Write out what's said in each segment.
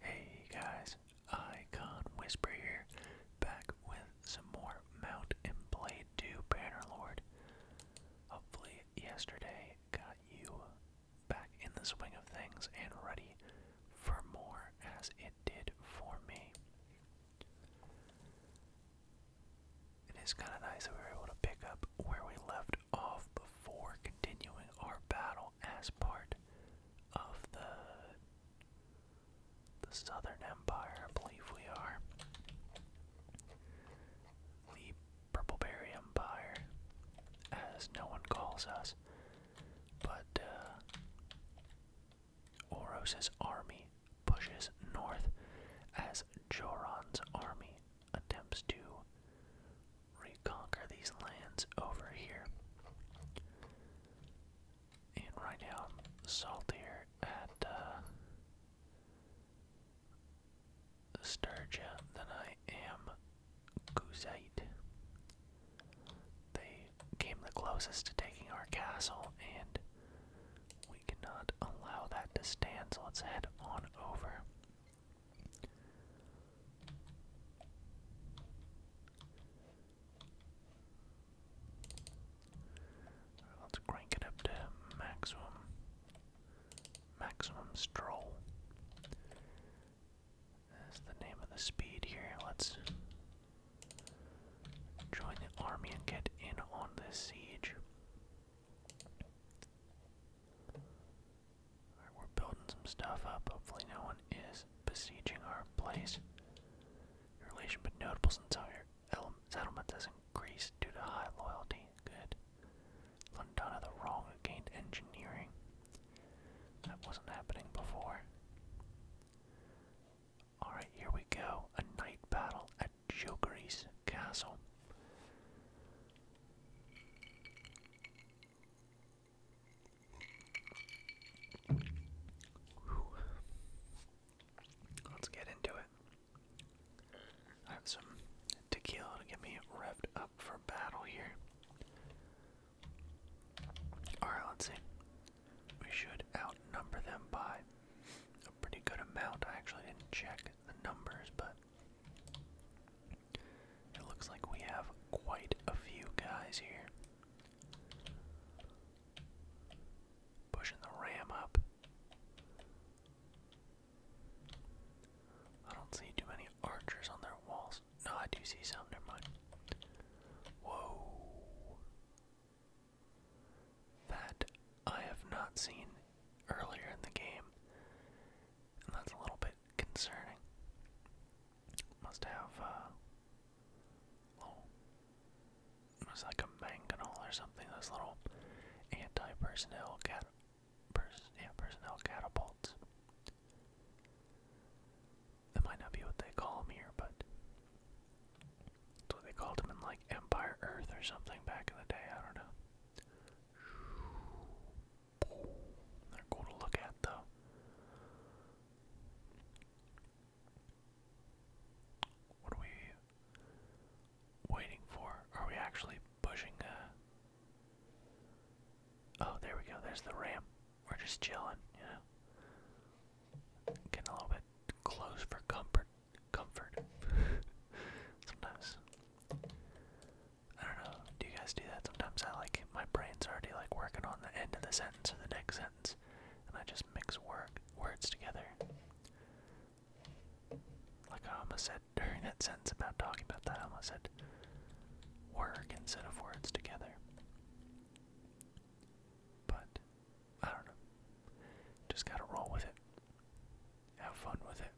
Hey guys, Icon Whisper here, back with some more Mount and Blade 2 Bannerlord. Hopefully yesterday got you back in the swing of things and ready for more as it did for me. It is kind of nice that we were able to pick up where we left off for continuing our battle as part of the the Southern Empire, I believe we are. The Purple Empire, as no one calls us. But uh, army pushes north as Joran's army attempts to reconquer these lands over here. And right now I'm saltier at uh, than I am Guzite. They came the closest to taking our castle, and we cannot allow that to stand, so let's head on over let's crank it up to maximum maximum stroll. That's the name of the speed here. Let's join the army and get in on this siege we're building some stuff up. Hopefully no one is besieging our place. relation but notable since our settlement has increased due to high loyalty. Good. Londana the wrong gained engineering. That wasn't happening before. Alright, here we go. A night battle at Jokery's Castle. Let's get into it. I have some tequila to get me revved up for battle here. Alright, let's see. We should outnumber them by a pretty good amount. I actually didn't check the numbers, but it looks like we have quite a few guys here. Pushing the ram up. I don't see too many archers on their walls. No, I do see some, Whoa. That I have not seen earlier in the game, and that's a little bit concerning. Must have, uh, little, oh, it's like a mangonel or something, those little anti-personnel cat, pers yeah, personnel catapults. That might not be what they call them here, but that's what they called them in like Empire Earth or something back in the day, I don't know. They're cool to look at, though. What are we waiting for? Are we actually pushing? Uh, oh, there we go. There's the ramp. We're just chilling, you know. Getting a little bit close for comfort. Comfort. Sometimes. I don't know. Do you guys do that? Sometimes I like my brain's already like working on the end of the sentence or the next sentence, and I just mix work words together. Like I almost said during that sentence about talking about that, I almost said work instead of words together. But I don't know. Just gotta roll with it. Have fun with it.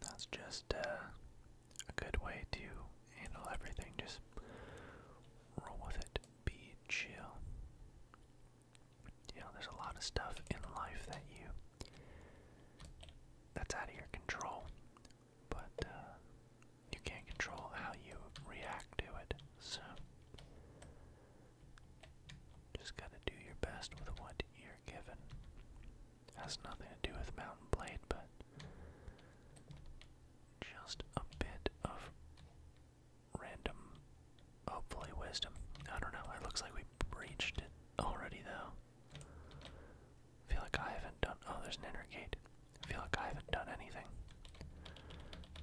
That's just uh, a good way to handle everything. Just roll with it. Be chill. You know, there's a lot of stuff in life that you that's out of your control but uh, you can't control how you react to it, so just gotta do your best with what you're given. Has nothing to do with Mountain Blade, but just a bit of random, hopefully, wisdom. I don't know, it looks like we breached it already, though. I feel like I haven't done. Oh, there's an inner gate. I feel like I haven't done anything.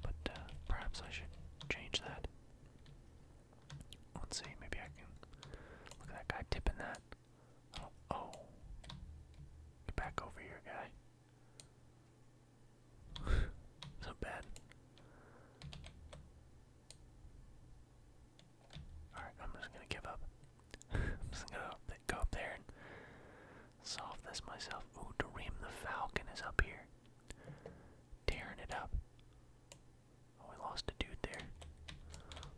But uh, perhaps I should change that. Let's see, maybe I can. Look at that guy tipping that. oh. oh. Get back over here, guy. so bad. Alright, I'm just gonna give up. I'm just gonna go up there and solve this myself. Ooh, Dream the Falcon is up here. Tearing it up. Oh, we lost a dude there.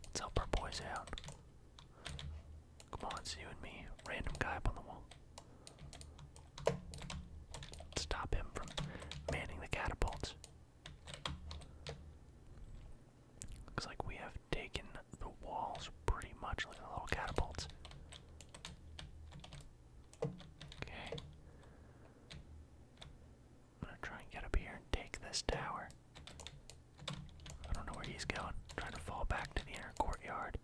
Let's help our boys out. Come on, it's you and me. Random guy up on the wall. stop him from manning the catapults. Looks like we have taken the walls pretty much. like at the little catapults. Okay. I'm gonna try and get up here and take this tower. I don't know where he's going. trying to fall back to the inner courtyard.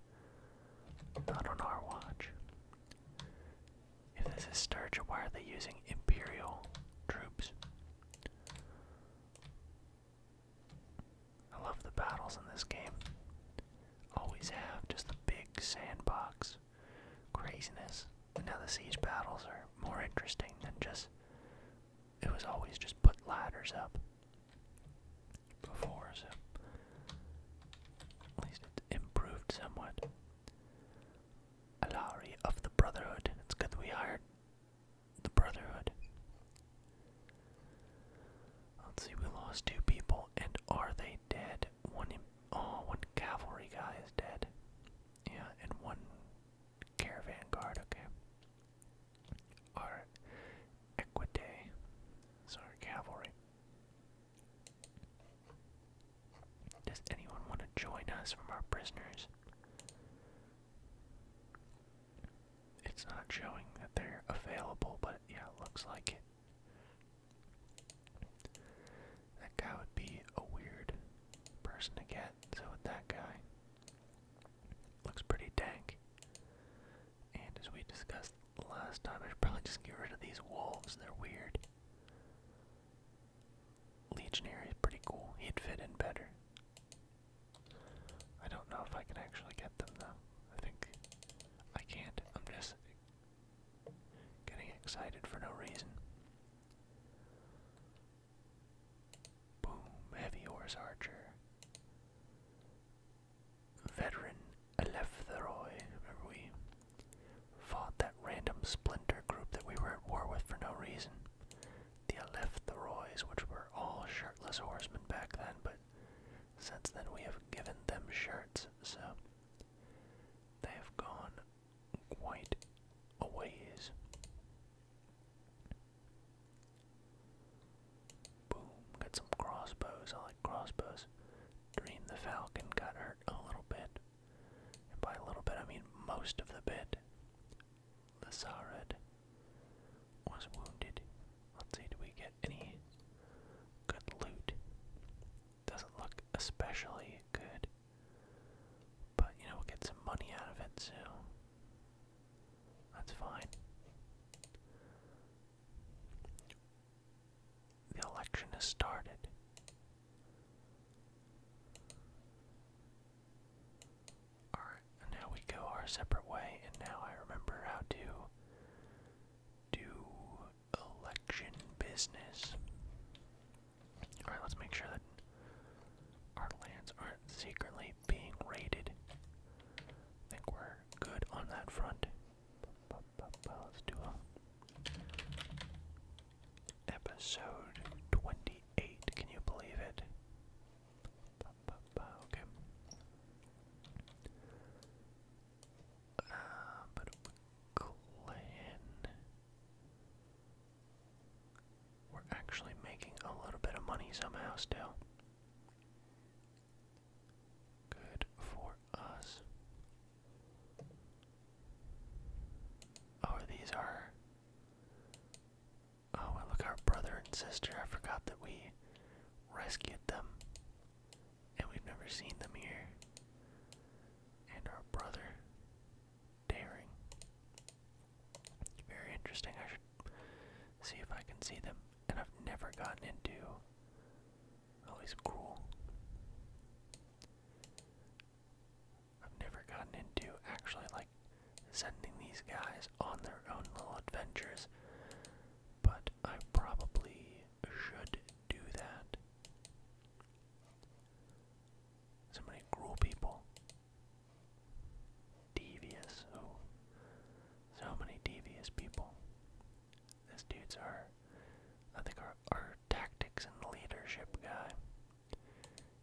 Not on our watch. If this is Sturgeon, why are they using Imperial troops? I love the battles in this game. Always have just the big sandbox craziness. And now the siege battles are more interesting than just. It was always just put ladders up before, so at least it's improved somewhat. Alari of the Brotherhood. It's good we hired the Brotherhood. Let's see, we lost two people, and are they dead? One, oh, one cavalry guy is dead. Yeah, and one caravan guard, okay. Our Equidae is our cavalry. Does anyone want to join us from our prisoners? It's not showing that they're available, but yeah, looks like it. That guy would be a weird person to get, so with that guy, looks pretty dank. And as we discussed last time, I should probably just get rid of these wolves, they're weird. Legionary is pretty cool, he'd fit in better. I don't know if I can actually get them though. I think I can't. I'm just getting excited for no reason. Boom, heavy horse archer. Veteran Eleftheroy, remember we fought that random splinter group that we were at war with for no reason. The Eleftheroys, which were all shirtless horsemen back then, but since then, we have given them shirts, so they have gone quite a ways. Boom, got some crossbows. I like crossbows. Dream the Falcon got hurt a little bit. And by a little bit, I mean most of the bit. Lazared was wounded. Let's see, do we get any good loot? Doesn't look especially good. But you know, we'll get some money out of it, so that's fine. The election has started. Alright, now we go our separate way, and now I remember how to do election business. Alright, let's make sure that our lands aren't secretly being raided. I think we're good on that front. Let's do episode twenty-eight. Can you believe it? Okay. but McClan. We're actually making a little bit of money somehow still. Good for us. Oh, these are. Oh, look, our brother and sister. I forgot that we rescued them. And we've never seen them here. And our brother, Daring. Very interesting. I should see if I can see them. And I've never gotten into. Oh, cool. I've never gotten into actually like sending these guys on their own little adventures but I probably should do that. So many cruel people. Devious, oh. So many devious people. This dude's our, I think our, our tactics and leadership guy.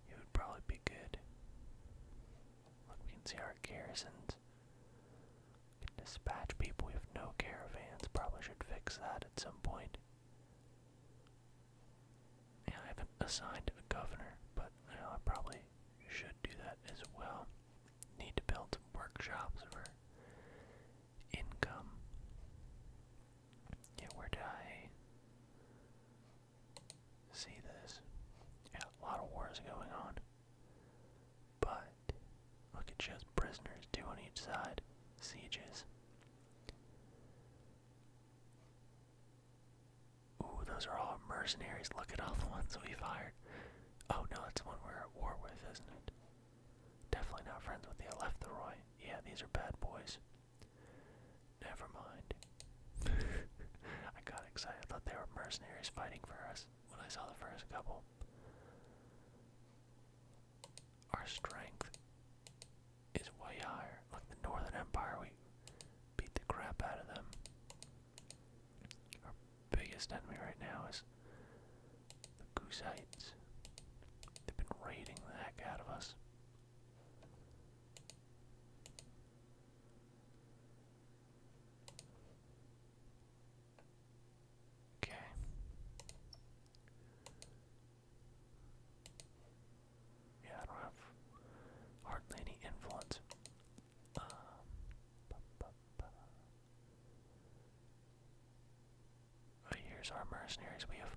He would probably be good. Look, we can see our garrisons we can dispatch people. We have no caravans. Probably should fix that at some point. Yeah, I haven't assigned a governor, but I probably should do that as well. Need to build workshops for income. Yeah, where did I see this? Yeah, a lot of wars going on. But look, at shows prisoners, two on each side, sieges. Ooh, those are all mercenaries. Look at all the ones we fired. Oh no, that's the one we're at war with, isn't it? Definitely not friends with the left right. Yeah, these are bad boys. Never mind. I got excited. thought they were mercenaries fighting for us when I saw the first couple. Our strength is way higher. Like the Northern Empire, we beat the crap out of them. Our biggest enemy right now is the Gusites. They've been raiding the heck out of us. Okay. Yeah, I don't have hardly any influence. Um, here's our mercenaries. We have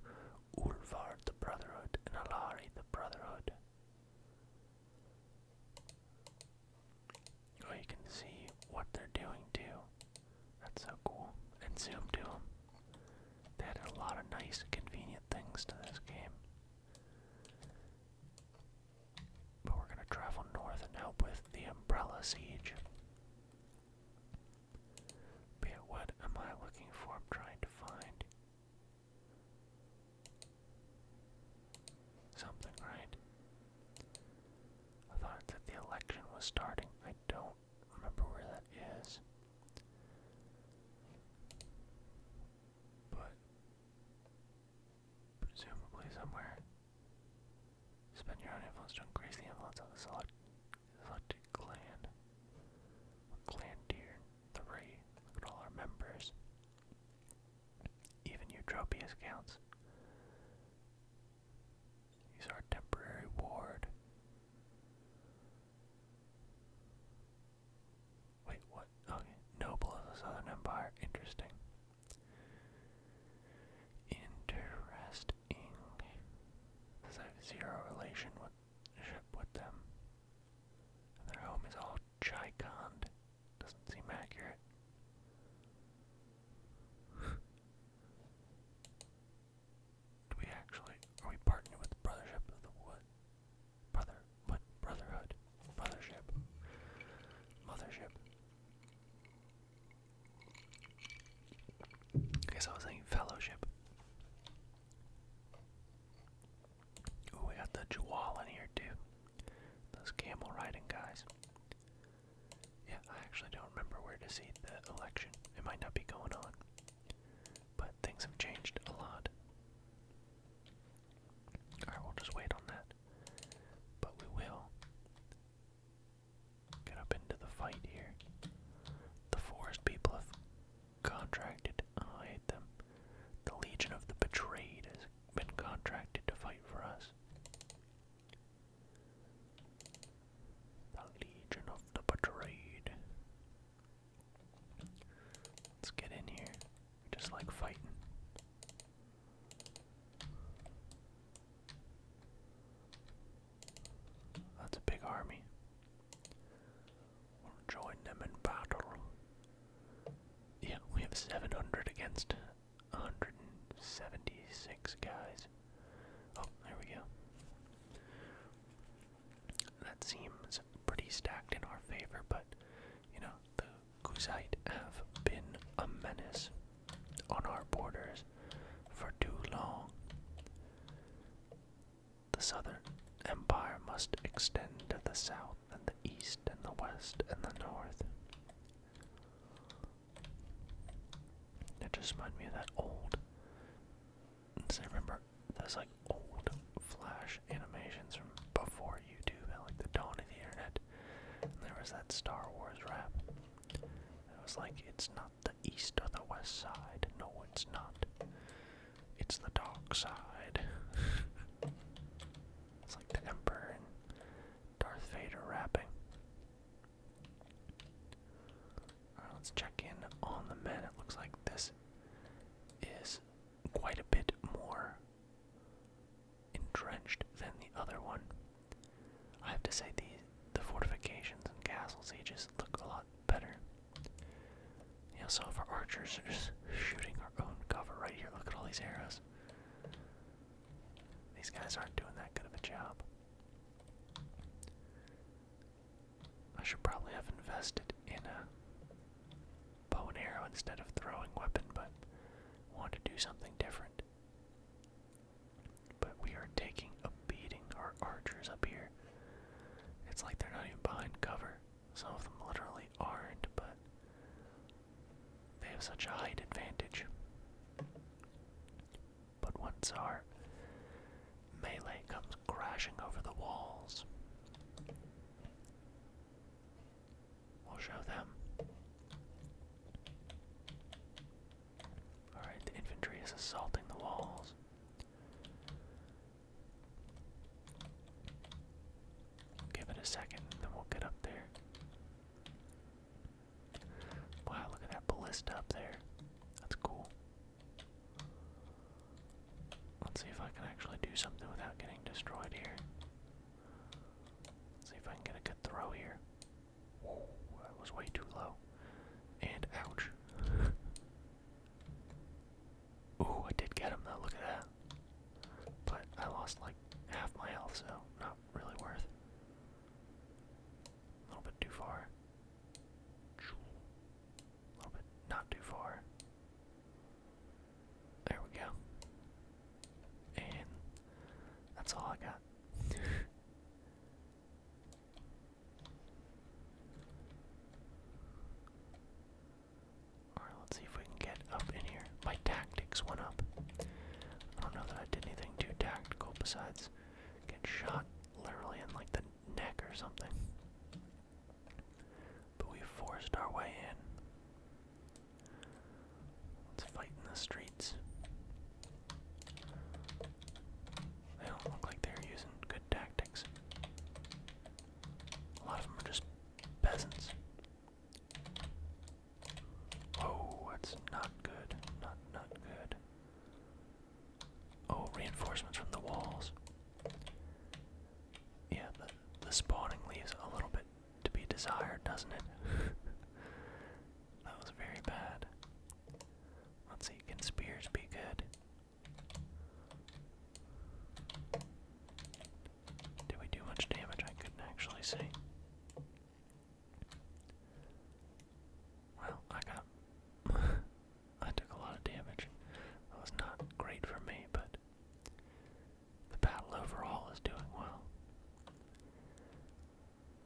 Urvar the Brotherhood and Alari the Brotherhood. Oh, you can see what they're doing too. That's so cool. And zoom to them. They had a lot of nice, convenient things to this game. But we're gonna travel north and help with the Umbrella Siege. But what am I looking for? I'm trying to find something, right? I thought that the election was starting. I don't remember where that is. But presumably somewhere. Spend your own influence to increase the influence of the select selected clan. Clan tier three. Look at all our members. Even Eutropius counts. He's our temporary ward. Wait, what? Okay, noble of the Southern Empire. Interesting. Interesting. Does that have zero relation with, them? their home is all Chikond. Doesn't seem accurate. Do we actually are we partnered with Brothership of the Wood? Brother what Brotherhood? Brothership. I guess I was thinking fellowship. Ooh, we got the Jawal in here too. Those camel riding guys. Yeah, I actually don't remember where to see the election. It might not be going on. But things have changed a lot. Alright, we'll just wait on that. But we will get up into the fight here. The forest people have contracted. Oh, I hate them. The Legion of the Betrayed has been contracted to fight for us. The Legion of the Betrayed. Let's get in here. just like fighting. That's a big army. We'll join them in battle. Yeah, we have 700 against 176 guys. Oh, there we go. That seems pretty stacked in our favor, but you know, the Kuzite have been a menace on our borders for too long. The southern empire must extend to the south and the east and the west and the north. That just reminded me of that old. I remember there's like old flash animations from before YouTube and like the dawn of the internet. there was that Star Wars rap. It was like, it's not the east or the west side. No, it's not. It's the dark side. it's like the Emperor Darth Vader rapping. Alright, let's check in on the men. It looks like this is quite a bit more entrenched than the other one. I have to say the fortifications and castle sieges look a lot better. Yeah, so if our archers are just shooting our own cover right here, look at all these arrows. These guys aren't doing that good of a job. I should probably have invested in a bow and arrow instead of throwing weapon, but want to do something different. But we are taking a beating, our archers up here. It's like they're not even behind cover. Some of them literally aren't, but they have such a height advantage. But once our melee comes crashing over the walls, we'll show them. Alright, the infantry is assaulting the walls. Give it a second, then we'll get up there. Wow, look at that ballista up there. That's cool. Let's see if I can actually do something without getting destroyed here. Let's see if I can get a good throw here. that was way too low. And ouch. Ooh, I did get him though, look at that. But I lost like half my health, so not really worth. A little bit too far. A little bit not too far. There we go. And that's all I got. Alright, let's see if we can get up in here. My tactics went up. I don't know that I did anything too tactical besides get shot literally in like the neck or something. But we forced our way in. Let's fight in the streets. They don't look like they're using good tactics. A lot of them are just peasants. Oh, that's not good. Not not good. Oh, reinforcements from the walls. Yeah, the the spawning leaves a little bit to be desired, doesn't it? that was very bad. Let's see, can spears be good? Did we do much damage? I couldn't actually see. Well, I got. I took a lot of damage. That was not great for me, but the battle overall is doing well.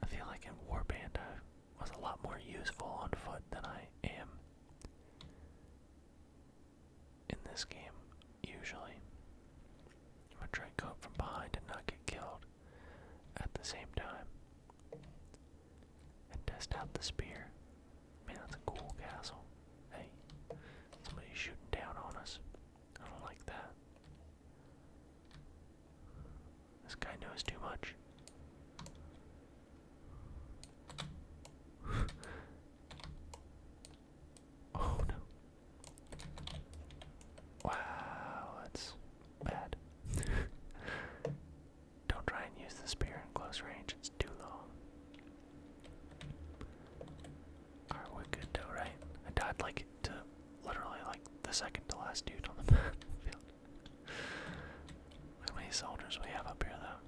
I feel like in Warband I was a lot more useful on foot than I am in this game, usually. I'm gonna try and go up from behind and not get killed at the same time. And test out the spear. Man, that's a cool castle. Hey, somebody's shooting down on us. I don't like that. This guy knows too much. oh no. Wow, that's bad. Don't try and use the spear in close range, it's too long. Alright, we good though, right? I died like to literally like the second to last dude on the battlefield. how many soldiers we have up here though.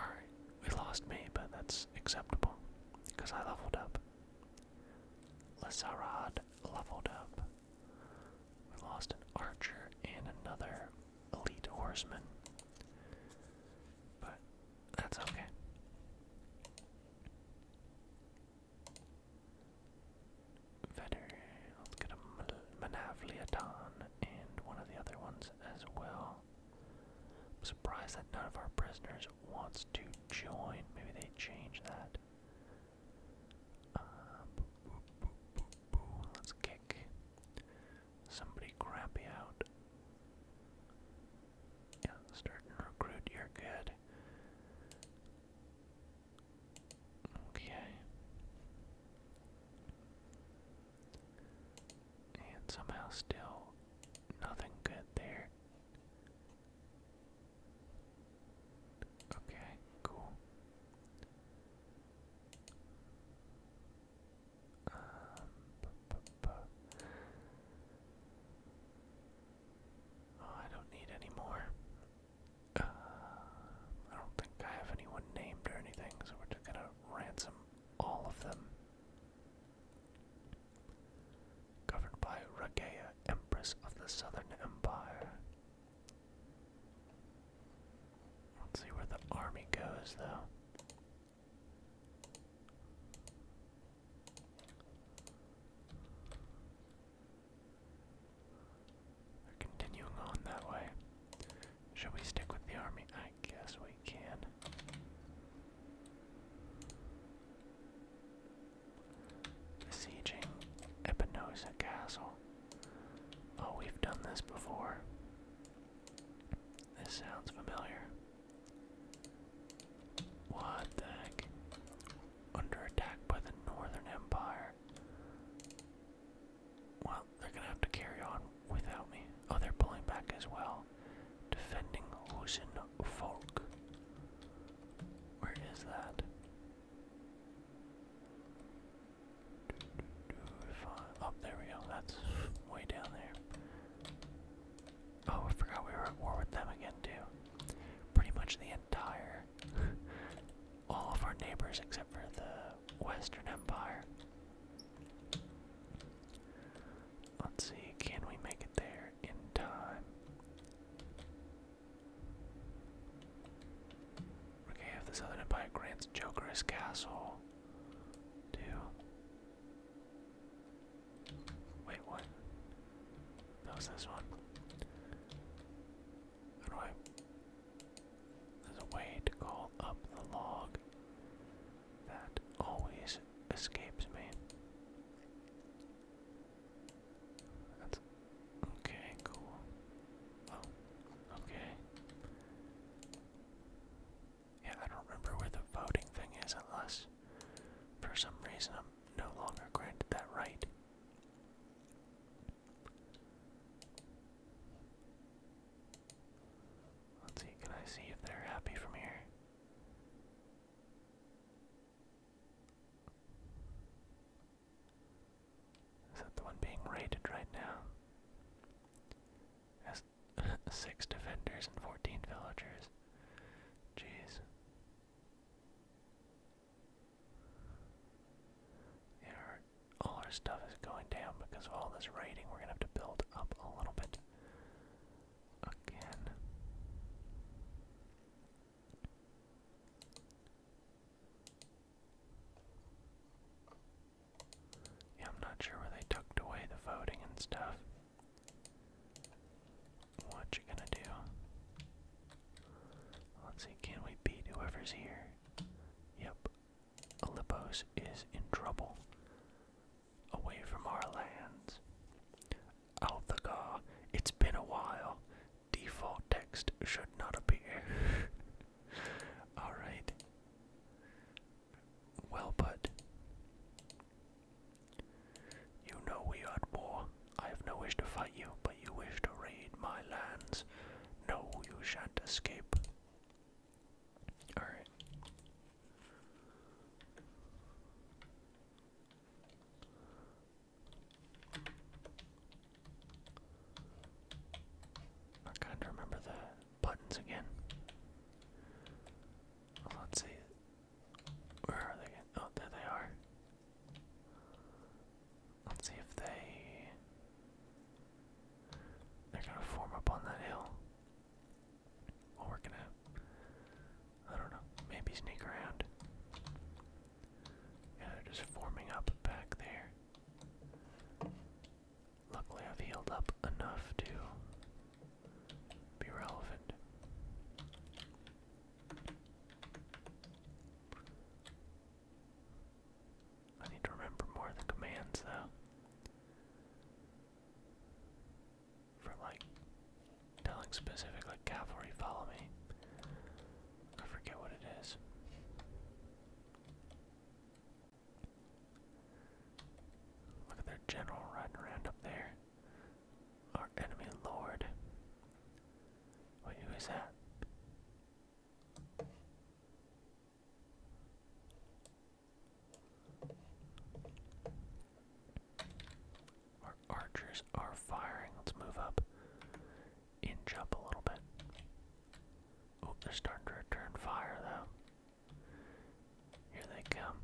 Alright, we lost me, but that's acceptable. Because I leveled up. Lazarad leveled up. We lost an archer and another elite horseman. But that's okay. Vetter, let's get a Manavliaton and one of the other ones as well surprised that none of our prisoners wants to join. Maybe they change that. Uh, Let's kick somebody crappy out. Yeah, start and recruit. you good. Okay. And somehow still nothing good there. Okay, cool. Um, oh, I don't need any more. Uh, I don't think I have anyone named or anything, so we're just gonna ransom all of them. Governed by Ragea, Empress of the Southern Empire. Let's see where the army goes, though. They're continuing on that way. Should we stick with the army? I guess we can. Besieging Epinosa Castle. Oh, we've done this before. This sounds familiar. What the heck? Under attack by the Northern Empire. Well, they're gonna have to carry on without me. Oh, they're pulling back as well. Defending Husin Folk. Where is that? Oh, there we go. That's way down there. Oh, I forgot we were at war with them again, too. Pretty much the entire. all of our neighbors except for the Western Empire. Let's see, can we make there in time. Okay, if the Southern Empire grants Joker his castle, too. Wait, what? was this one. There's a way to call up the log that always escapes me. That's okay, cool. Oh, okay. Yeah, I don't remember where the voting thing is unless for some reason I'm no longer granted that right. Let's see, can I see if they're happy from here? Is that the one being raided right now? Has six defenders and 14 villagers. Jeez. Yeah, all our stuff is going down because of all this raiding. We're going to have to build up a little bit again. Yeah, I'm not sure where they tucked away the voting and stuff. What you gonna do? Let's see, can we beat whoever's here? Yep. Olympos is in trouble. Away from our lands. Althagar, it's been a while. Default text should not appear. Alright. Well, but. You know we are at war. I have no wish to fight you, but you wish to raid my lands. No, you shan't escape. Alright. I'm trying to remember the buttons again. let's see. Where are they? Oh, there they are. Let's see if they. They're gonna form up on that hill. we're gonna I don't know. Maybe sneak around. Yeah, they're just forming up back there. Luckily, I've healed up enough to be relevant. I need to remember more of the commands, though. For like Telling specifically cavalry, follow me. I forget what it is. Look at their general riding around up there. Our enemy lord. who is that? Our archers are firing. Let's move up. Inch up a little bit. Oh, they're starting to return fire though. Here they come.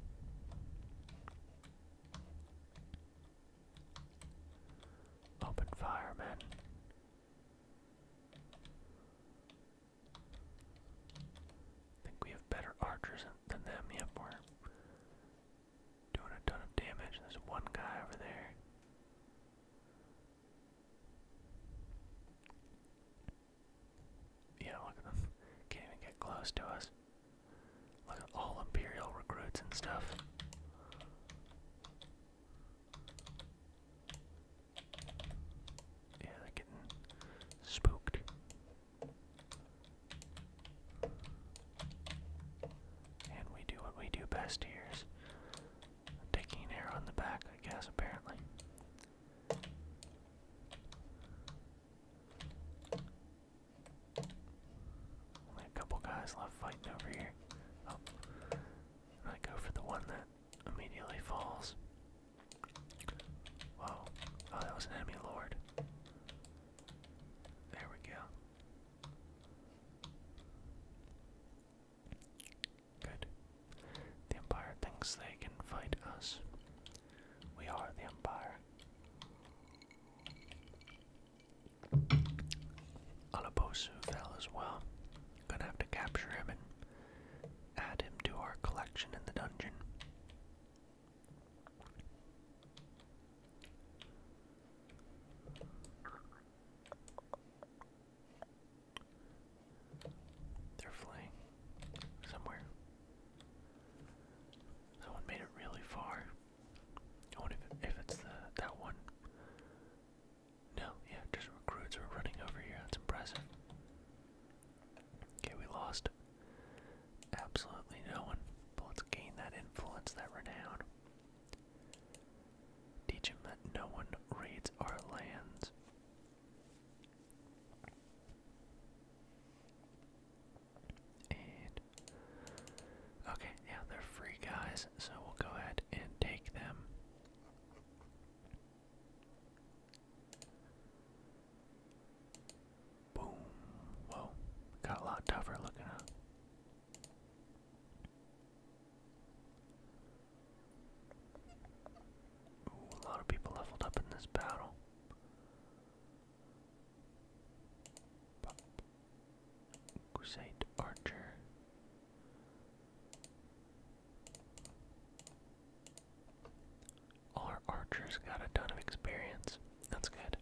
Open fire, men. think we have better archers than them. Yep, we Doing a ton of damage. There's one guy over there. Yeah, look at them. Can't even get close to us. Look at all Imperial recruits and stuff. Yeah, getting spooked. And we do what we do best here is taking an arrow in the back, I guess, apparently. Only a couple guys left fighting over here. Oh. I go for the one that immediately falls. Whoa. Oh, that was an enemy lord. There we go. Good. The Empire thinks they can fight us. We are the Empire. Alabosu fell as well. Gonna have to capture him and add him to our collection in the dungeon. They're flying somewhere. Someone made it really far. I wonder if, if it's the that one. No, yeah, just recruits are running over here. That's impressive. Okay, we lost absolutely no one, but let's gain that influence, that renown. Teach him that no one raids our lands. And okay, yeah, they're free guys, so we'll go ahead and take them. Boom. Whoa. Got a lot tougher looking, a lot of people leveled up in this battle. Crusade Archer. our archers got a ton of experience. That's good.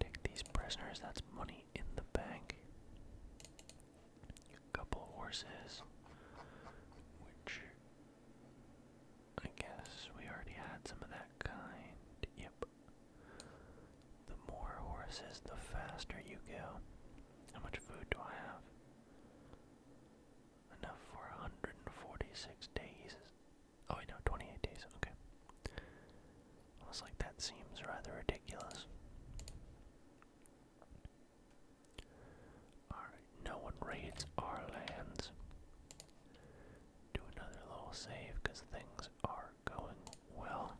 Take these prisoners, that's money in the bank. A couple horses, which I guess we already had some of that kind. Yep. The more horses, the faster you go. How much food do I have? Enough for 146 days. Oh, I know. 28 days. Okay. Almost like, that seems rather ridiculous. Alright, no one raids our lands. Do another little save because things are going well.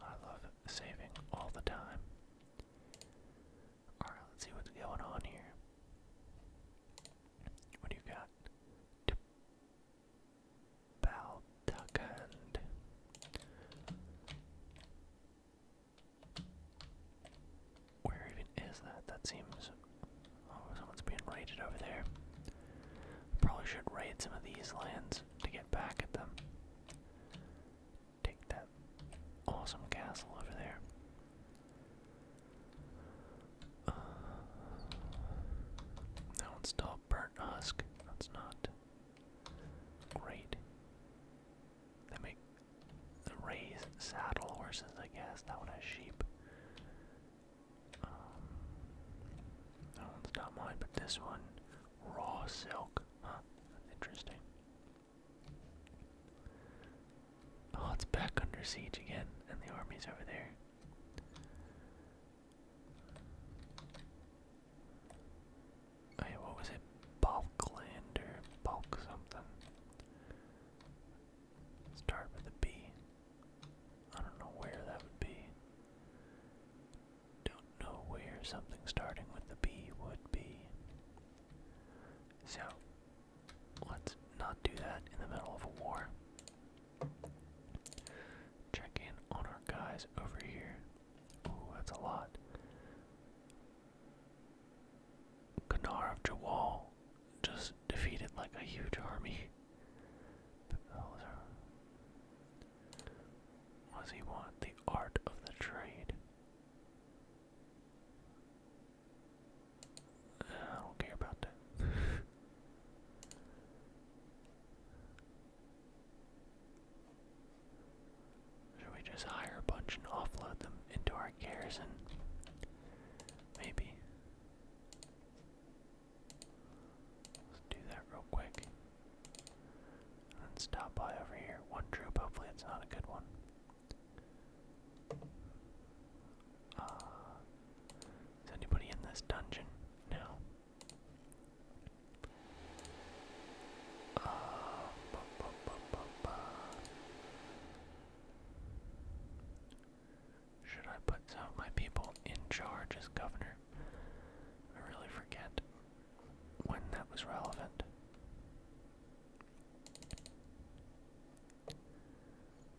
I love saving all the time. Alright, let's see what's going on here. What do you got? Balduckand. Where even is that? That seems. Oh, someone's being raided over there. Probably should raid some of these lands to get back at them. Take that awesome castle over there. Uh, that one's burnt husk. That's not great. They make the raised saddle horses, I guess. That one has sheep. Um, that one's not mine, but this one, raw silk. Huh, interesting. Oh, it's back under siege again, and the army's over there. Oh what was it? Balkland or Balk something. Start with a B. I don't know where that would be. Don't know where something starting with the B would be. So, Let's not do that in the middle of a war. Check in on our guys over here. Ooh, that's a lot. Gnar of Jawal just defeated like a huge army. What does he want? The art of the trade. I don't care about that. Should we just hire a bunch and offload them into our garrison? Maybe. Let's do that real quick. then stop by over here. One troop, hopefully it's not a good one. Uh, is anybody in this dungeon? No. Uh, should I put some of my people in charge as governor? I really forget when that was relevant.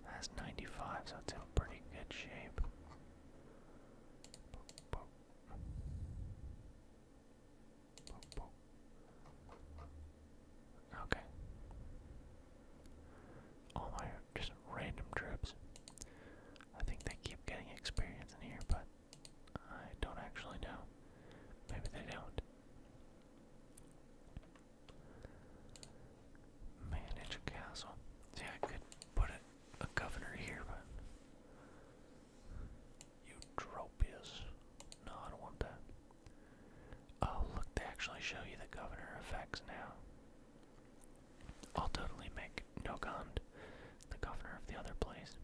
That's 95, so it's in pretty good shape. Okay. All my just random trips. I think they keep getting experience in here, but I don't actually know. Maybe they don't. Manage a castle. See, I could put a, governor here, but. Eutropius. No, I don't want that. Oh, look, they actually show you the governor effects now. I'll totally make Nogand the governor of the other place.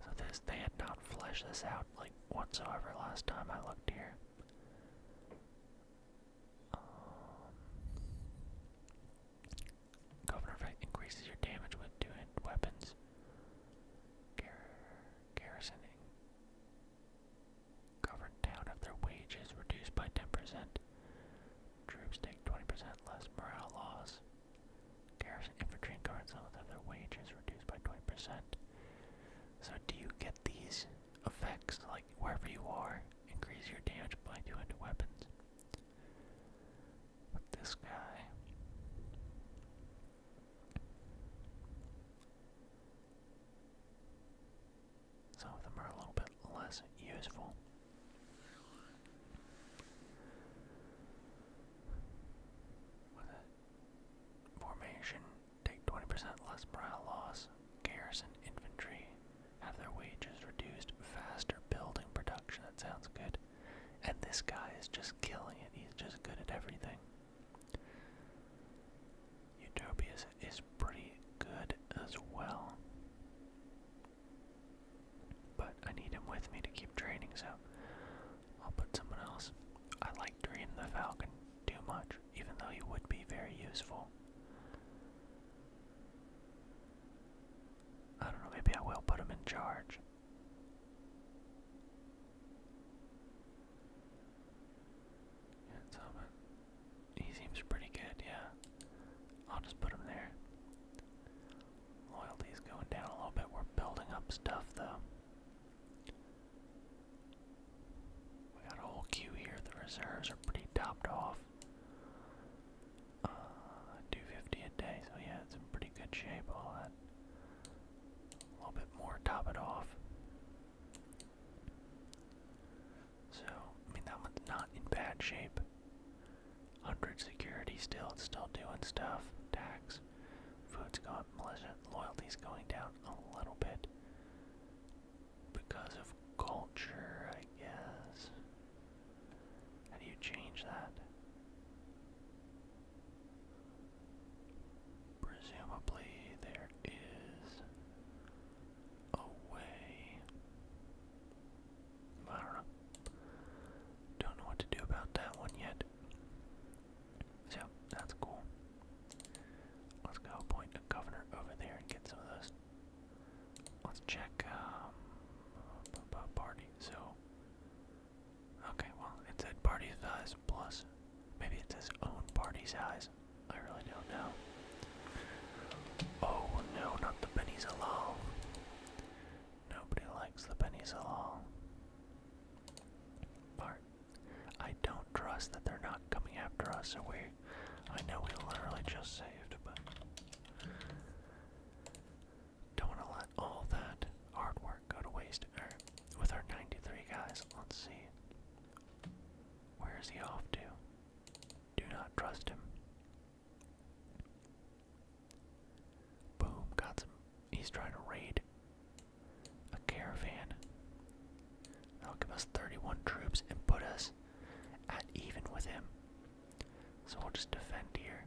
So, th they had not fleshed this out, like, whatsoever last time I looked here. Um, governor effect increases your damage with two weapons. garrison governed town if their wage reduced by 10%. Troops take 20% less morale loss. Garrison infantry and guards if their wage reduced by 20%. So do you get these effects like wherever you are? Increase your damage by 200 weapons. this guy. Some of them are a little bit less useful. Formation, take 20% less morale loss. Garrison infantry, have their wages reduced. Faster building production, that sounds good. And this guy is just killing it, he's just good at everything. Utopia is pretty good as well. But I need him with me to keep training, so I'll put someone else. I like Dream the Falcon too much, even though he would be very useful. I don't know, maybe I will put him in charge. He seems pretty good, yeah. I'll just put him there. Loyalty's going down a little bit. We're building up stuff, though. We got a whole queue here. The reserves are pretty topped off. Uh, 250 a day, so yeah, it's in pretty good shape. All that. A little bit more, top it off. So, I mean, that one's not in bad shape. 100 security still, it's still doing stuff. Tax. Food's going, militia, loyalty's going down a little bit because of culture, I guess. How do you change that? Presumably, there is a way. I don't know. Don't know what to do about that one yet. So that's cool. Let's go appoint a governor over there and get some of those. Let's check um, party. So, okay, well, it said party size plus. Maybe it says own party size. I really don't know. Oh no, not the pennies alone. Nobody likes the pennies alone. Part I don't trust that they're not coming after us, Are we I know we literally just saved, but don't wanna let all that hard work go to waste. Er, with our 93 guys, let's see. Where is he off to? Do not trust him. Boom, got some. He's trying to raid a caravan. That'll give us 31 troops and put us at even with him. So we'll just defend here.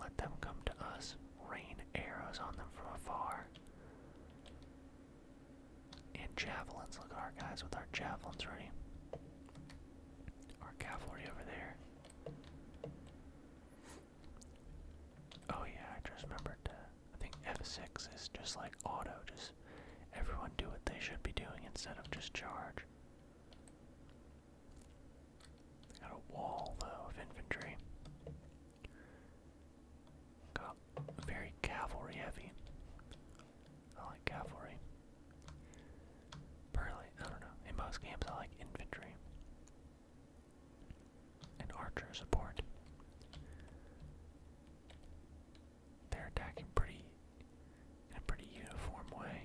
Let them come to us. Rain arrows on them from afar. And javelins. Look at our guys with our javelins ready. Our cavalry over there. Oh yeah, I just remembered I think F6 is just like auto, just everyone do what they should be doing instead of just charge. Got a wall though of infantry. Got very cavalry heavy. I like cavalry. Burley, I don't know. In most games I like infantry and archer support. They're attacking pretty in a pretty uniform way.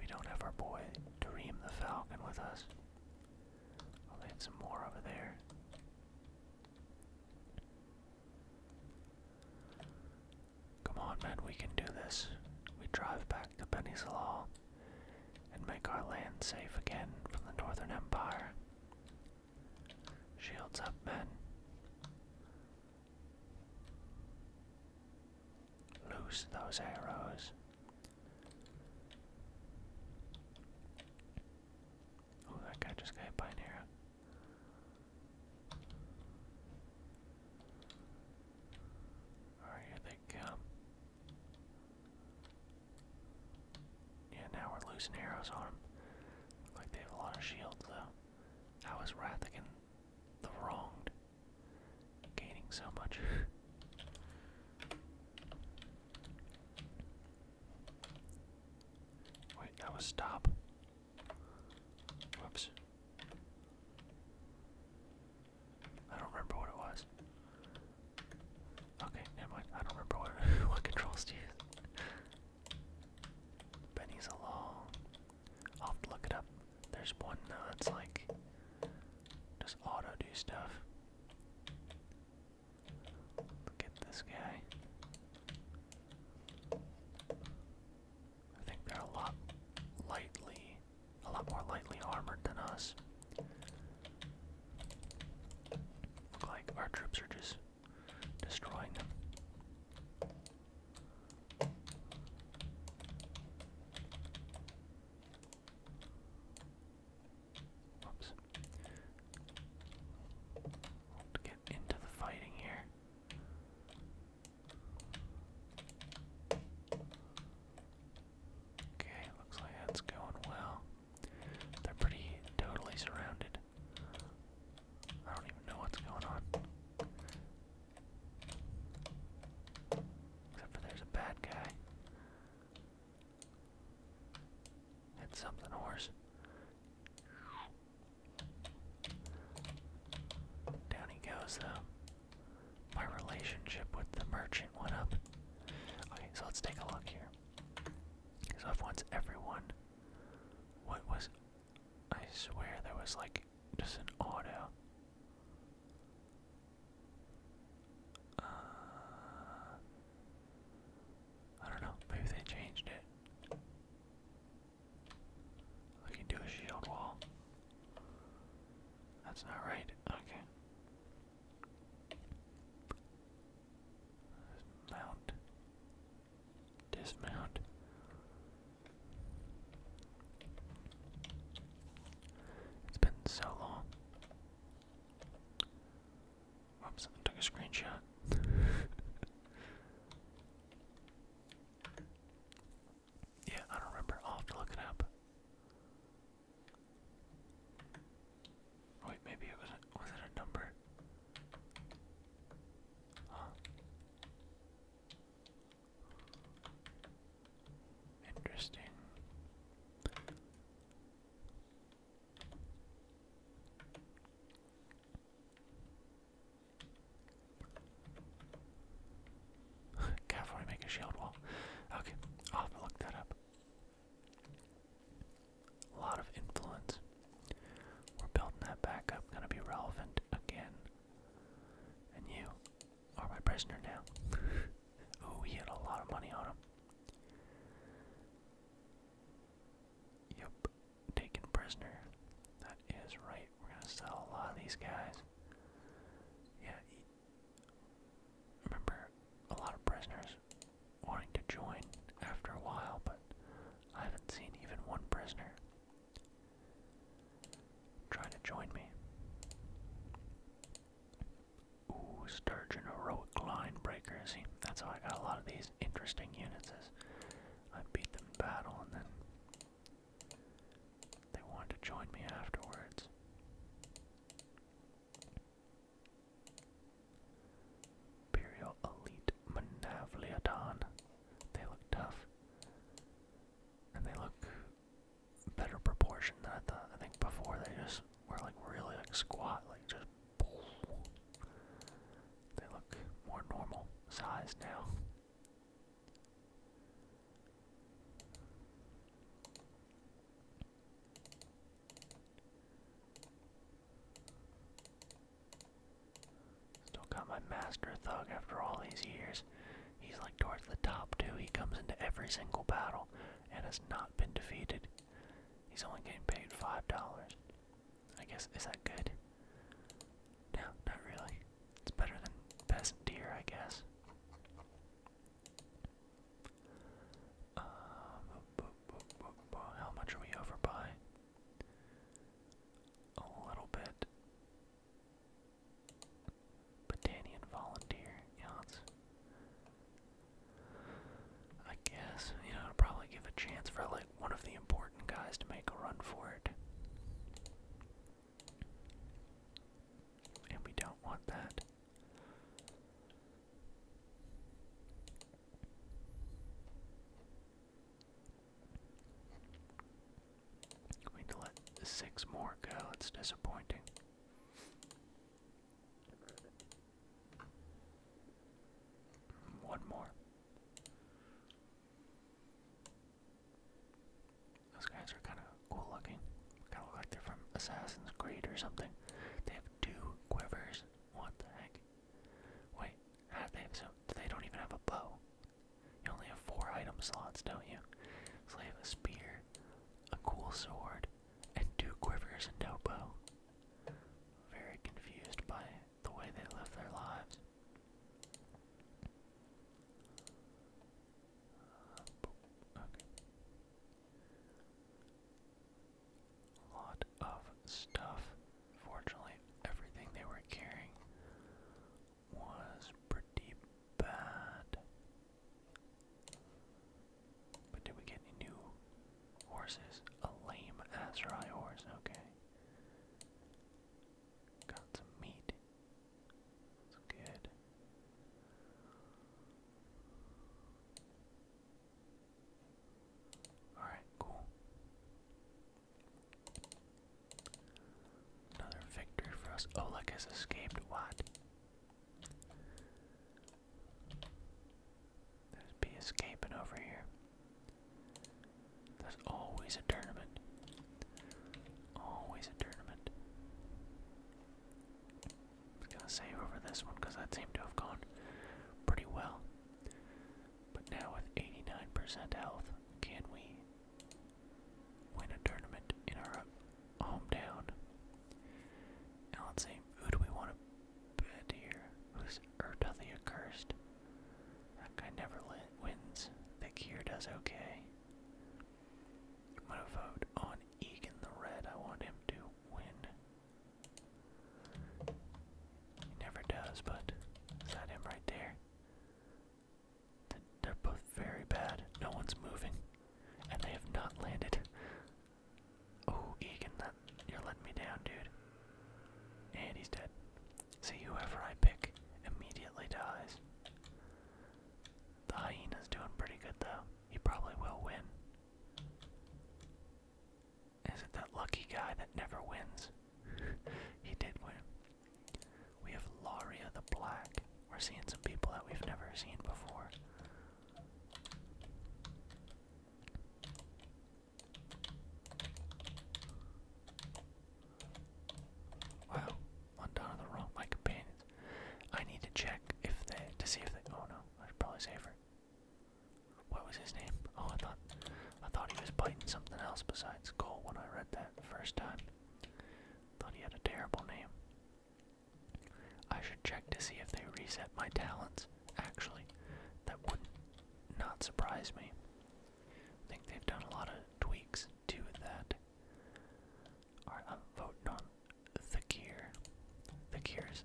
We don't have our boy Dream the Falcon with us. I'll land some more over there. Come on, man, we can do this. We drive back to Penny and make our land safe again from the Northern Empire. Shields up, men. Loose those arrows. Oh, that guy just got hit by arrow. here they come. Yeah, now we're losing Arrow's on them. like they have a lot of shields, though. That was Rathigan the wronged gaining so much? Wait, that was stop. Whoops. I don't remember what it was. Okay, never mind. I don't remember what what controls to use. Benny's along. I'll look it up. There's one uh, that's like just auto do stuff. Look at this guy. I think they're a lot lightly a lot more lightly armored than us. Look like our troops are just destroying them. Whoops. we get into the fighting here. Okay, looks like that's going well. They're pretty totally surrounded. I don't even know what's going on. Except for there's a bad guy. And something worse. Down he goes, though. My relationship with the merchant went up. Okay, so let's take a look here. So I've once everyone, what was, I swear there was like just an auto. Uh, I don't know. Maybe they changed it. We can do a shield wall. That's not right. Okay. Mount. Dismount. It's been so long. Oops, I took a screenshot. yeah, I don't remember. I'll have to look it up. Wait, maybe it was a, was it a number? Interesting. Can't make a shield wall. Okay, I'll look that up. A lot of influence. We're building that back up, gonna be relevant again. And you are my prisoner now. Ooh, he had a lot of money on him. Yep, taken prisoner. That is right. We're gonna sell a lot of these guys. Yeah, remember a lot of prisoners wanting to join after a while, but I haven't seen even one prisoner trying to join me. Ooh, Sturgeon Heroic Line Breaker, That's how I got a lot of these interesting units is I beat them in battle and then they wanted to join me afterwards. Imperial Elite Manavliodon. They look tough. And they look better proportioned than I thought. I think before they just were like really like squat, like just they look more normal size now. Still got my master thug after all these years. He's like towards the top too. He comes into every single battle and has not been defeated. He's only getting paid five dollars. I guess is that good? No, not really. It's better than peasant deer, I guess how much are we over by? A little bit. Batanian volunteer, yeah, I guess, you know, i probably give a chance for like one of the important guys to make a run for it. And we don't want that. We to let six more go. It's disappointing. One more. Those guys are kind of cool looking. Kind of look like they're from Assassin's Creed or something. They have two quivers. What the heck? Wait, how do they have so? They don't even have a bow. You only have four item slots, don't you? So they have a spear, a cool sword, and two quivers and a bow. Very confused by the way they live their lives. Uh, okay a lot of stuff. Fortunately, everything they were carrying was pretty bad. did we get any new horses? A lame Azrai horse, okay. Got some meat. That's good. Alright, cool. Another victory for us. Oleg oh, has escaped. What? There's B escaping over here. There's always a tournament. Always a tournament. I'm gonna save over this one because that seemed to have gone pretty well. But now with 89% health, can we win a tournament in our hometown? Now let's see, who do we want to bet here? Who's Urta the Accursed? That guy never wins. The gear does okay. I'm gonna vote on Egan the Red. I want him to win. He never does, but is that him right there? They're both very bad. No one's moving. And they have not landed. Oh, Egan, you're letting me down, dude. And he's dead. See, whoever I pick immediately dies. The hyena's doing pretty good, though. He probably will win. Is it that lucky guy that never wins? he did win. We have Laria the Black. We're seeing some people that we've never seen before. Wow, one down on the wrong. My companions. I need to check if they to see if they. Oh no, I should probably save her. What was his name? Oh, I thought I thought he was biting something else besides Cole when I read that first time. Thought he had a terrible name. I should check to see if they reset my talents. Actually, that would not surprise me. I think they've done a lot of tweaks to that. Alright, i on the gear. The gear is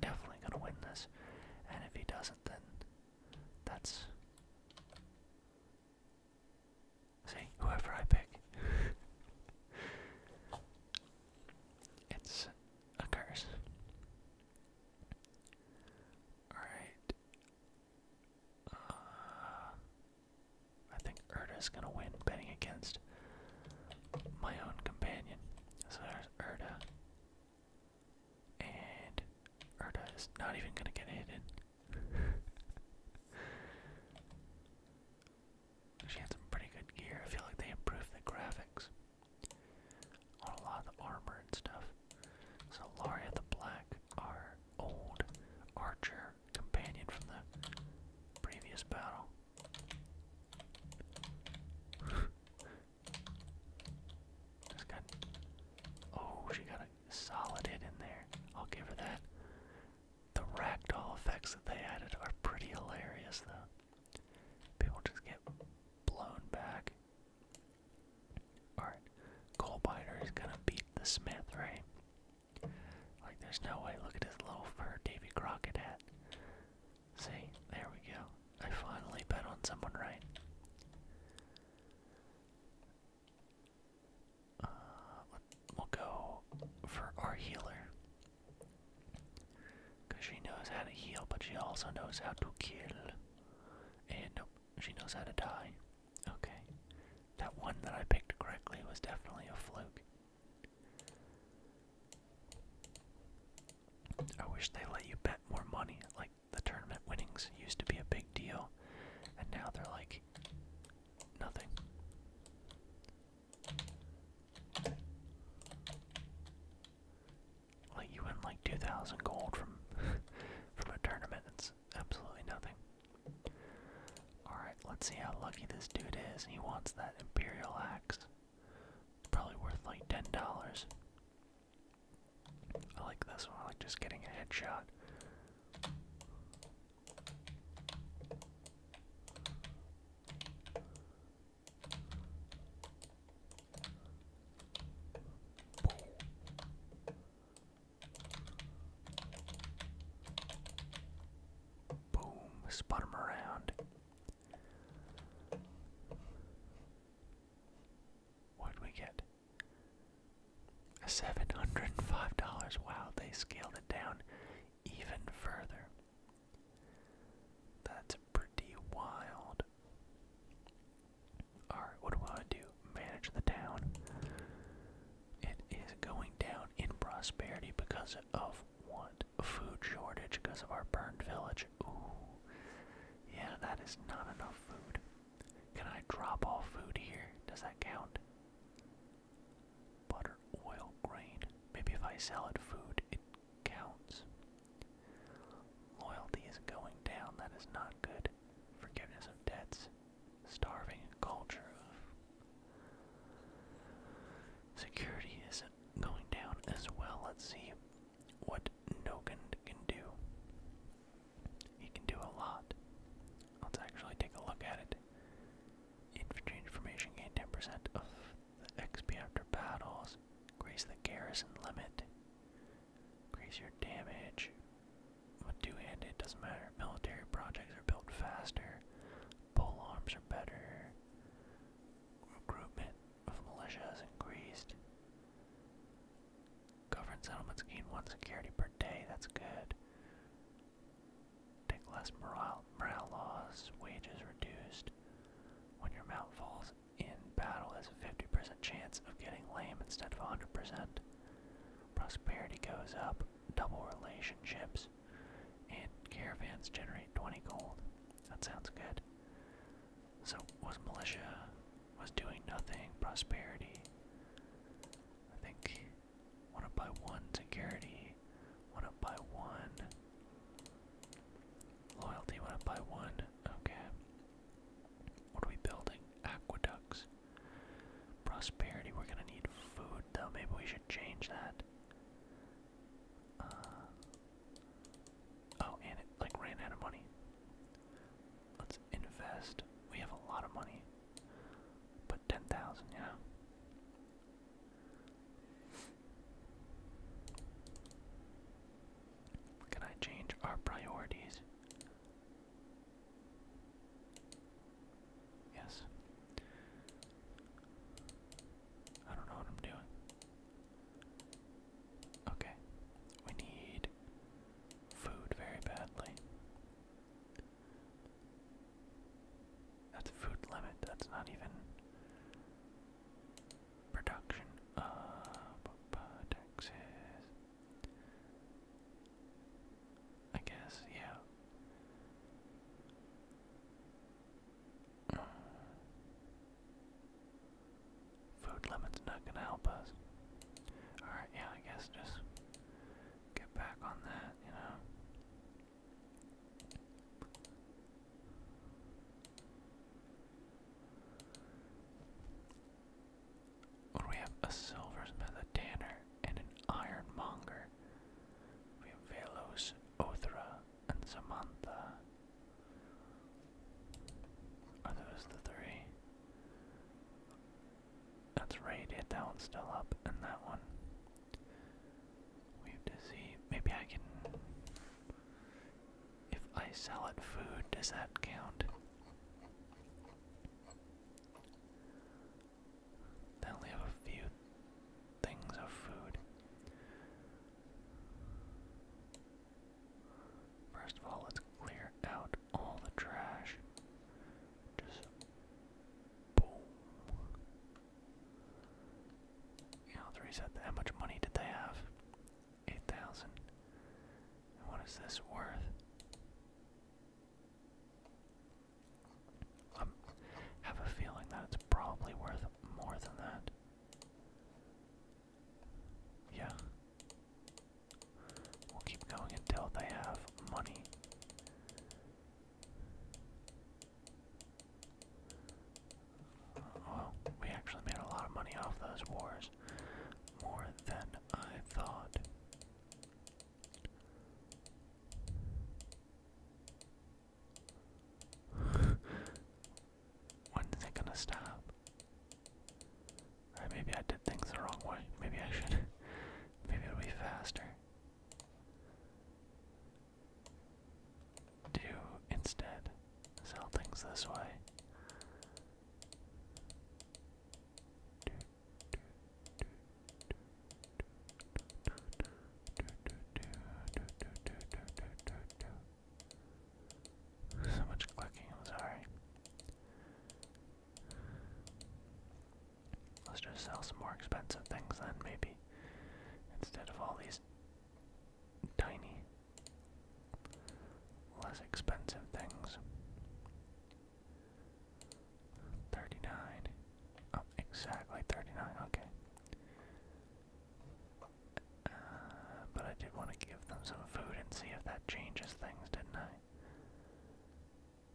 definitely gonna win this, and if he doesn't, then that's see whoever I pick. it's a curse. All right. Uh, I think Erda's gonna win betting against my own companion. So there's Erda. And Erda is not even gonna get hidden. she had some pretty good gear. I feel like they improved the graphics on a lot of the armor and stuff. So Laria the Black, our old archer companion from the previous battle. Just got. Oh, she got a solid hit in there. I'll give her that. The ragdoll effects that they added are pretty hilarious, though. People just get blown back. Alright, Coalbiter is gonna beat the Smith, right? Like, there's no way. Look at his little fur Davy Crockett See, there we go. I finally bet on someone right. Uh, we'll go for our healer. Because she knows how to heal, but she also knows how to kill. And she knows how to die. Okay. That one that I picked correctly was definitely a fluke. I wish they let you bet more money. Like the tournament winnings used to be a big deal, and now they're like nothing. Like you win like 2,000 gold from from a tournament. It's absolutely nothing. All right, let's see how lucky this dude is. He wants that imperial axe probably worth like ten dollars. I like this one. I like just getting a headshot. Boom. Boom. Spot him around. What'd we get? A seven hundred and five dollars. Wow, they scaled it down even further. That's pretty wild. Alright, what do I do? Manage the town. It is going down in prosperity because of what? Food shortage because of our burned village. Ooh. Yeah, that is not enough food. Can I drop all food here? Does that count? Butter, oil, grain. Maybe if I sell it food, it counts. Loyalty is going down. That is not good. Forgiveness of debts. Starving culture. Security is going down as well. Let's see what Nogand can do. He can do a lot. Let's actually take a look at it. Infantry information gain 10% of the XP after battles. Increase the garrison limit. Increase your damage. What With 2 it doesn't matter. Military projects are built faster. Pole arms are better. Recruitment of militia has increased. Government settlements gain one security per day. That's good. Take less morale, morale loss. Wages reduced. When your mount falls in battle, there's a 50% chance of getting lame instead of 100%. Prosperity goes up. Double relationships and caravans generate 20 gold. That sounds good. So, was militia, was doing nothing, prosperity. I think one up by one, security, one up by one, loyalty, one up by one. Okay. What are we building? Aqueducts. Prosperity, we're gonna need food though. Maybe we should change that. Uh, oh, and like ran out of money. Let's invest. We have a lot of money, but ten thousand, yeah. Can I change our priorities? Yes. I don't know what I'm doing. Okay. We need food very badly. That's food limit. That's not even production. of uh, Texas. I guess, yeah. Food limit's not gonna help us. Alright, yeah, I guess just get back on that, you know. we have? A silversmith, a tanner, and an ironmonger. We have Velos, Othra, and Samantha. Are oh, those the three? That's right, yeah, that one's still up, and that one. We have to see. Maybe I can. If I sell it food, does that count? They only have a few things of food. First of all, let's clear out all the trash. Just boom. You know, let that. How much money did they have? 8,000. what is this worth? I um, have a feeling that it's probably worth more than that. Yeah. We'll keep going until they have money. Well, we actually made a lot of money off those wars. More than I thought when is it gonna stop? Alright, maybe I did things the wrong way. Maybe I should. Maybe it'll be faster. Do instead sell things this way. So much clicking, I'm sorry. Let's just sell some more expensive things then, maybe. Instead of all these tiny, less expensive things. 39. Oh, exactly 39, okay. Uh, but I did want to give them some food and see if that changes things, didn't I?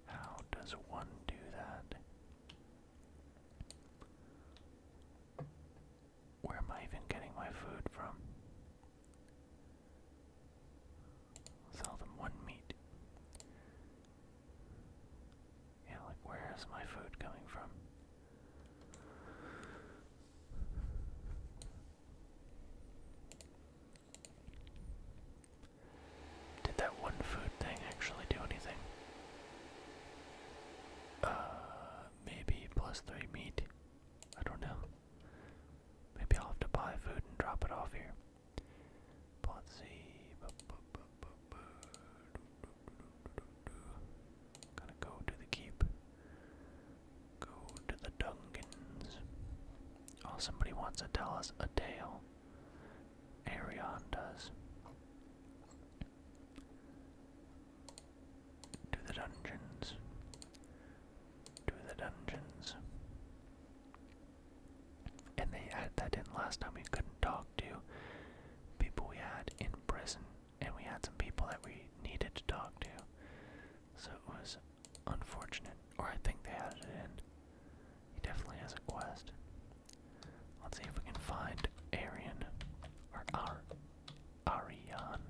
How does one do that? Where am I even getting my food from? Sell them one meat. Yeah, like where is my food coming from? Did that one food thing actually do anything? Uh, maybe plus three meat. I don't know. Maybe I'll have to buy food and drop it off here. But see. Gonna go to the keep. Go to the Dungans. Oh, somebody wants to tell us a tale. Arion does. To the dungeons. To the dungeons. And they added that in last time we couldn't talk to people we had in prison and we had some people that we needed to talk to. So it was unfortunate, or I think they had it in. He definitely has a quest. Let's see if we can find Arian, or Ar Arian,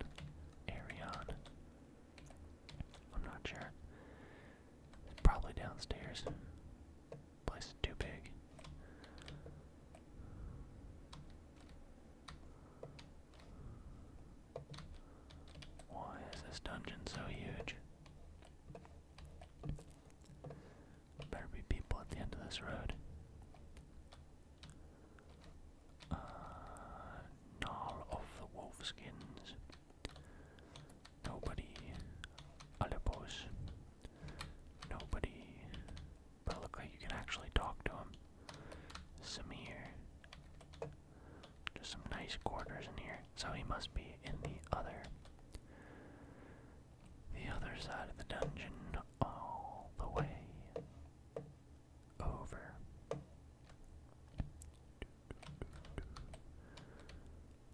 Arian. I'm not sure. probably downstairs. Place is too big. Why is this dungeon so huge? Better be people at the end of this road. Uh, of the Wolfskins. Nobody. Alepos. Nobody. But it like you can actually talk to him. Samir. Just some nice quarters in here. So he must be in the other. The other side of the dungeon, all the way over.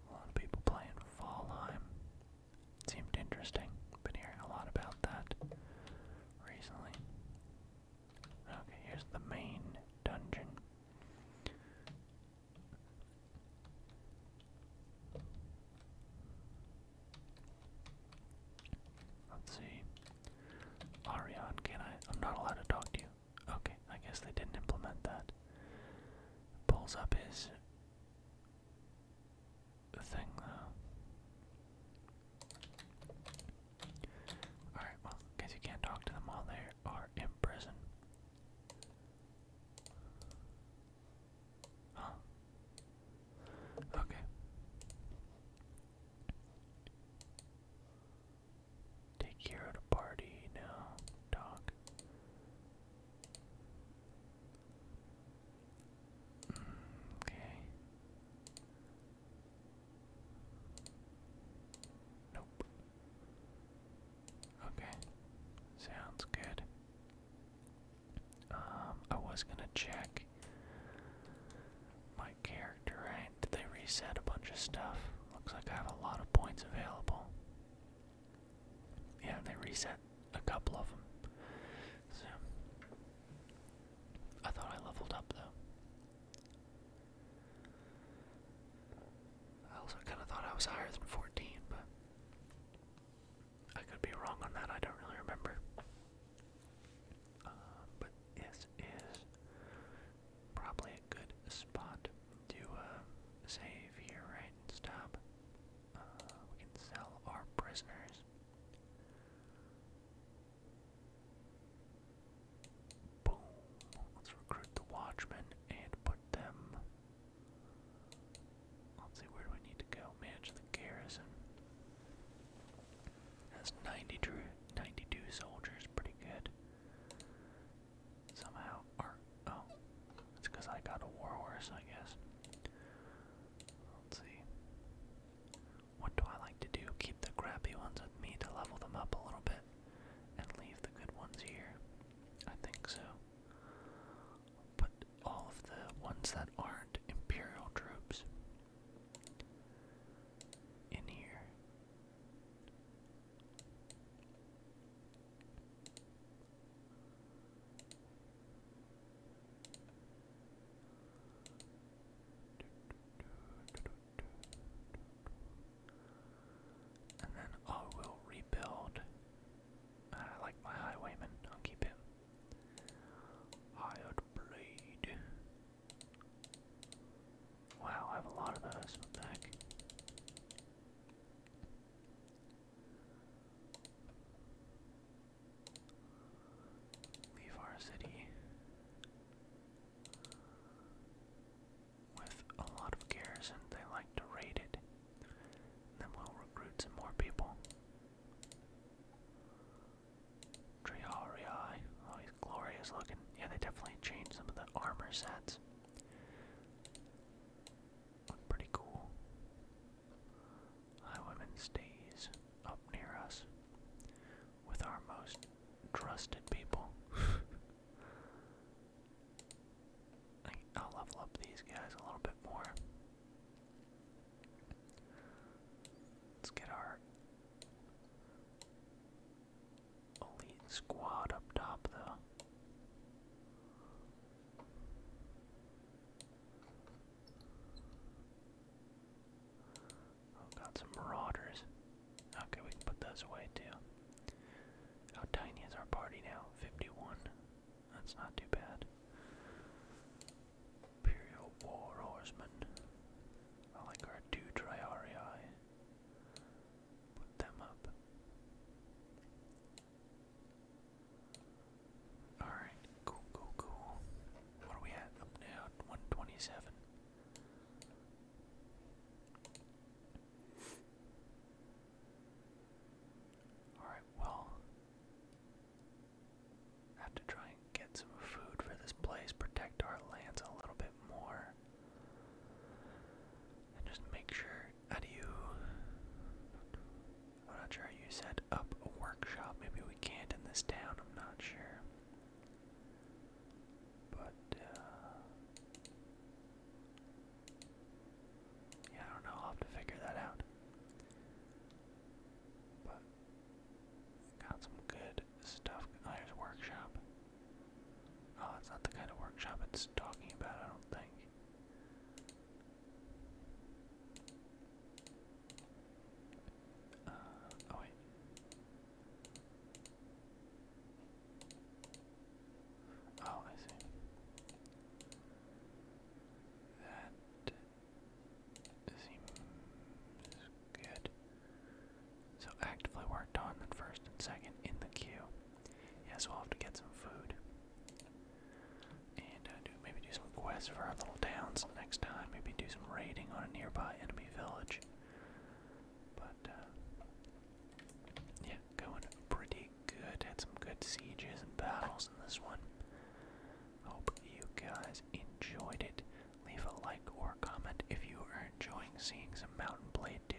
A lot of people playing Fallheim. Seemed interesting. Been hearing a lot about that recently. Okay, here's the main dungeon. Let's see. Larion, can I? I'm not allowed to talk to you. Okay, I guess they didn't implement that. Pulls up his thing, though. Alright, well, guess you can't talk to them while they are in prison. Okay. Take care of the party now, dog. Okay. Nope. Okay. Sounds good. Um, I was gonna check my character, right? Did they reset a bunch of stuff? Looks like I have a lot of points available. Yeah, they reset a couple of them. So I thought I leveled up though. I also kind of thought I was higher than 14, but I could be wrong on that. I don't really remember. Uh, but this is probably a good spot to uh, save here, right? stop. Uh, we can sell our prisoners. Boom. Let's recruit the Watchmen and put them. Let's see, where do we need to go? Manage the garrison. That's 92, soldiers, pretty good. Somehow, oh, it's because I got a war I guess. Let's see. What do I like to do? Keep the crappy ones with me to level them up a little bit and leave the good ones here. I think so. Put all of the ones that aren't Imperial troops in here. And I will rebuild. I uh, like my highwayman, keep him. Hired blade. Wow, I have a lot of those back. Leave our city with a lot of garrison. They like to raid it. Then we'll recruit some more people. Triarii. Oh, glorious looking. Yeah, they definitely changed some of the armor sets. Look pretty cool. High Women stays up near us with our most trusted people. I'll level up these guys a little bit more. Let's get our elite squad up top, though. Oh, got some marauders. Okay, we can put those away too. How tiny is our party now? 51. That's not too bad. Imperial War Horsemen. I like our two Triarii. Put them up. Alright, cool, cool, cool. What are we at now? 127. Alright, well, have to try and get some food for this place, protect our lands a little bit more, and just make sure. How you. I'm not sure you set up a workshop. Maybe we can't in this town, I'm not sure. But, uh, yeah, I don't know. I'll have to figure that out. But, got some good stuff. Oh, here's a workshop. Oh, it's not the kind of workshop it's talking about, I don't think. Uh, oh wait. Oh, I see. That seems good. So actively worked on the first and second in the queue. Yeah, so I'll have to get some food. And uh, do, maybe do some for our little towns next time. Maybe do some raiding on a nearby enemy village. But, uh, yeah, going pretty good. Had some good sieges and battles in this one. Hope you guys enjoyed it. Leave a like or comment if you are enjoying seeing some Mountain Blade 2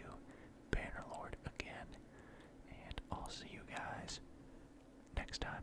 Bannerlord again. And I'll see you guys next time.